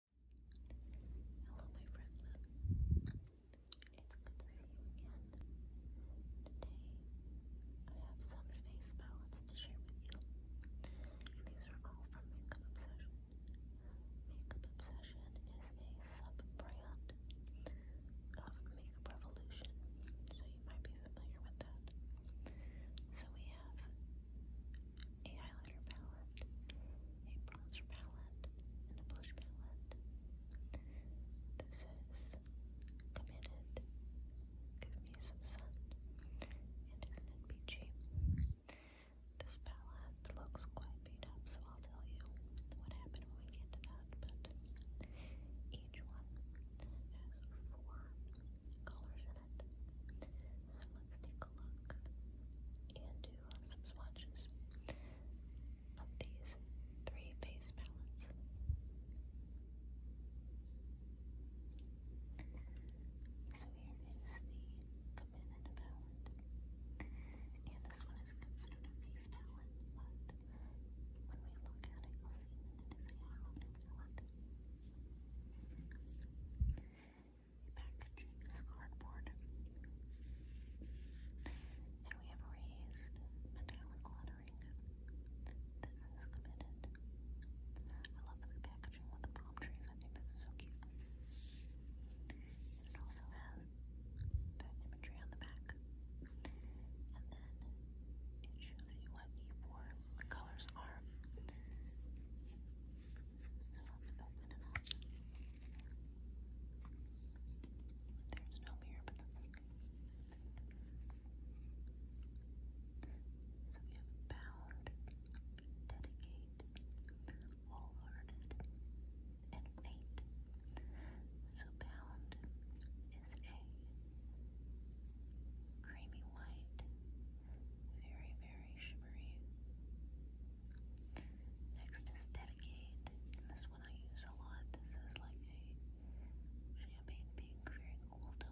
Hello, my friends. It's good to see you again. Today, I have some face palettes to share with you. These are all from Makeup Obsession. Makeup Obsession is a sub of Makeup Revolution, so you might be familiar with that. So we have a highlighter palette, a bronzer palette, and a blush palette. This is committed. Give me some sun. isn't it peachy? This palette looks quite beat up, so I'll tell you what happened when we get to that. But each one has four colors in So let's take a look and do some swatches of these three face palettes. So here is the Command palette. And this one is considered a face palette, but when we look at it, you'll see that it is a highlighter palette packaging is cardboard. And we have raised metallic lettering. This is committed. I love this packaging with the palm trees. I think this is so cute. It also has that imagery on the back. And then it shows you what the colors are. Let's There's no mirror, but that's okay. So we have bound, dedicate, wholehearted, and faint. So bound is a creamy white very, very shimmery. Next is Dedicate. this one I use a lot. This is like a champagne pink, very tone.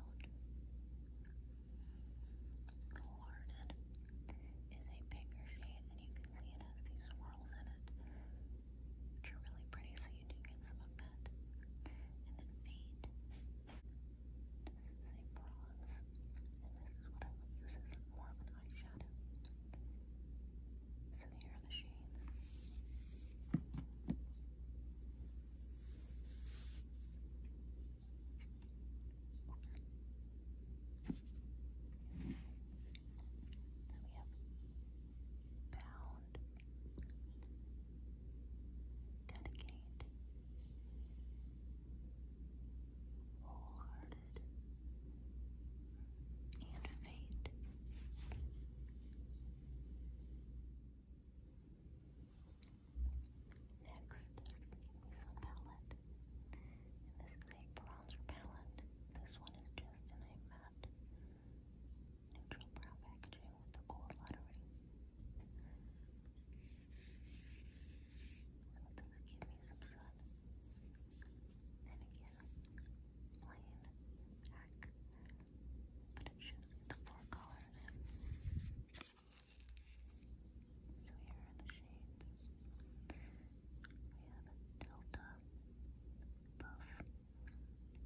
Learned is a pinker shade, and you can see it has these swirls in it, which are really pretty, so you do get some of that. And then Fade this is a bronze, and this is what I would use as more of an eyeshadow. So here are the shades. Then we have bound, dedicate, wholehearted, and fate. Next is a palette, and this is a bronzer palette. This one is just a matte neutral brown packaging with the gold lettering. I'm gonna give you some sun. And again, plain black. But it shows you the four colors. So here are the shades. We have Delta, Buff,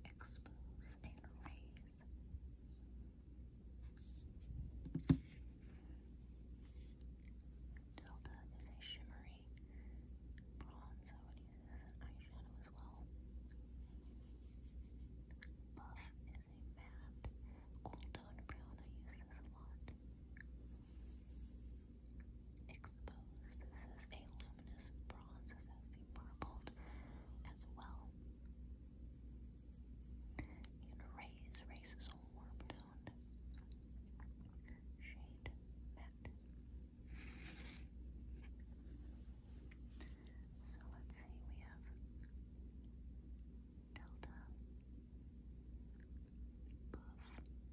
Expose, and Raise. Delta is a shimmery bronze, I use it as an eyeshadow as well. Buff is a matte cool tone brown, I use this a lot. Exposed, this is a luminous bronze, this has the marbled as well. And raise, raise is all warm toned. Shade, matte. So let's see, we have Delta, Buff, Expose,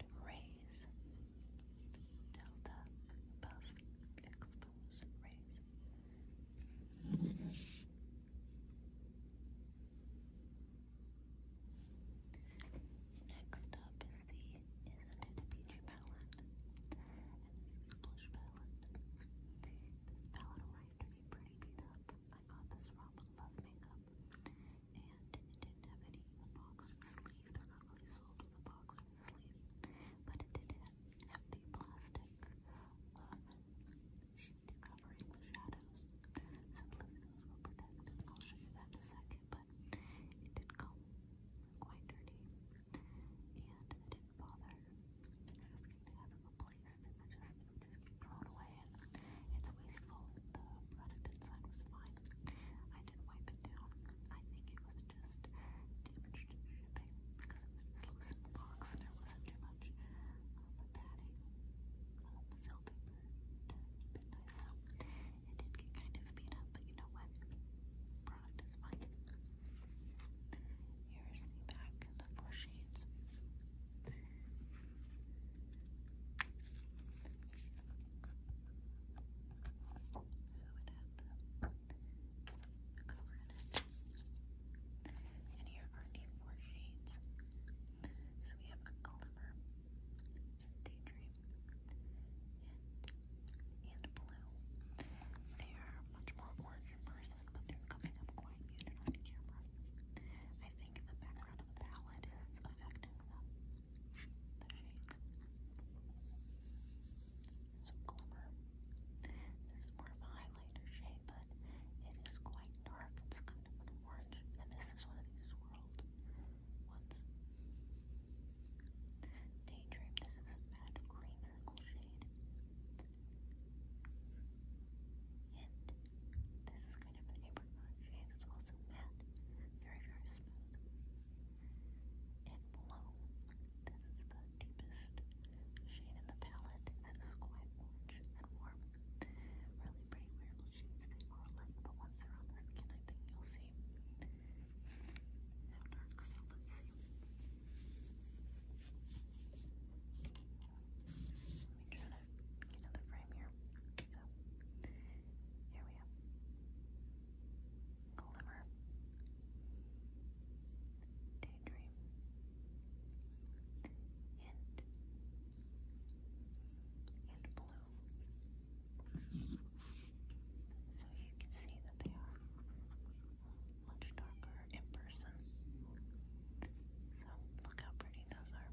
and Raise rays. Delta Next up is the Isn't palette. And a blush palette. This palette arrived to be pretty beat I got this from Love Makeup. And it didn't have any box sleeve. They're not really sold with a box sleeve, but it did have the plastic um, uh, sheet covering the shadows, so please those were protected. I'll show you that in a second, but it did come quite dirty, and I didn't bother asking to have it replaced. It's just, just thrown away, and it's wasteful. The product inside was fine. I didn't wipe it down. I think it was just damaged shipping because it was just loose in the box and there wasn't too much um, padding on the seal paper to keep it nice. So it did get kind of beat up, but you know what? Product is fine. Here's the back and the four shades. Now so it had the, cover in it. And here are the four shades. So we have Gulliver, Daydream, and, and Blue. They are much more orange in person, they're coming up quite muted on camera. I think the background of the palette is affecting them. Some glimmer. This more of a highlighter shade, but it is quite dark. It's kind of an orange, and this is one of these swirled ones. Daydream. This is a matte creamsicle shade. And this is kind of an apricot shade. It's also matte. Very, very smooth and blue. This is the deepest shade in the palette. This quite orange and warm. Really pretty wearable shades. They light, but once they're on the skin, I think you'll see how dark. So let's see. Let me try to get out the frame here. So, here we go. Glimmer. Daydream. Hint. And blue. So you can see that they are much darker in person. So look how pretty those are.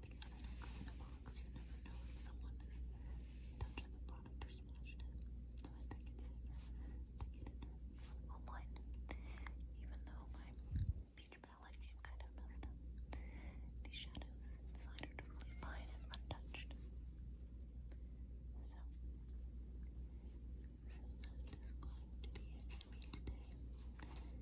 because as I clean a box, you never know if someone is touching the product or smashed it. So I think it's safer to get it online, even though my beach palette came kind of messed up. The shadows inside are totally fine and untouched. So, so that is going to be it for me today. Thank you so much, my friend,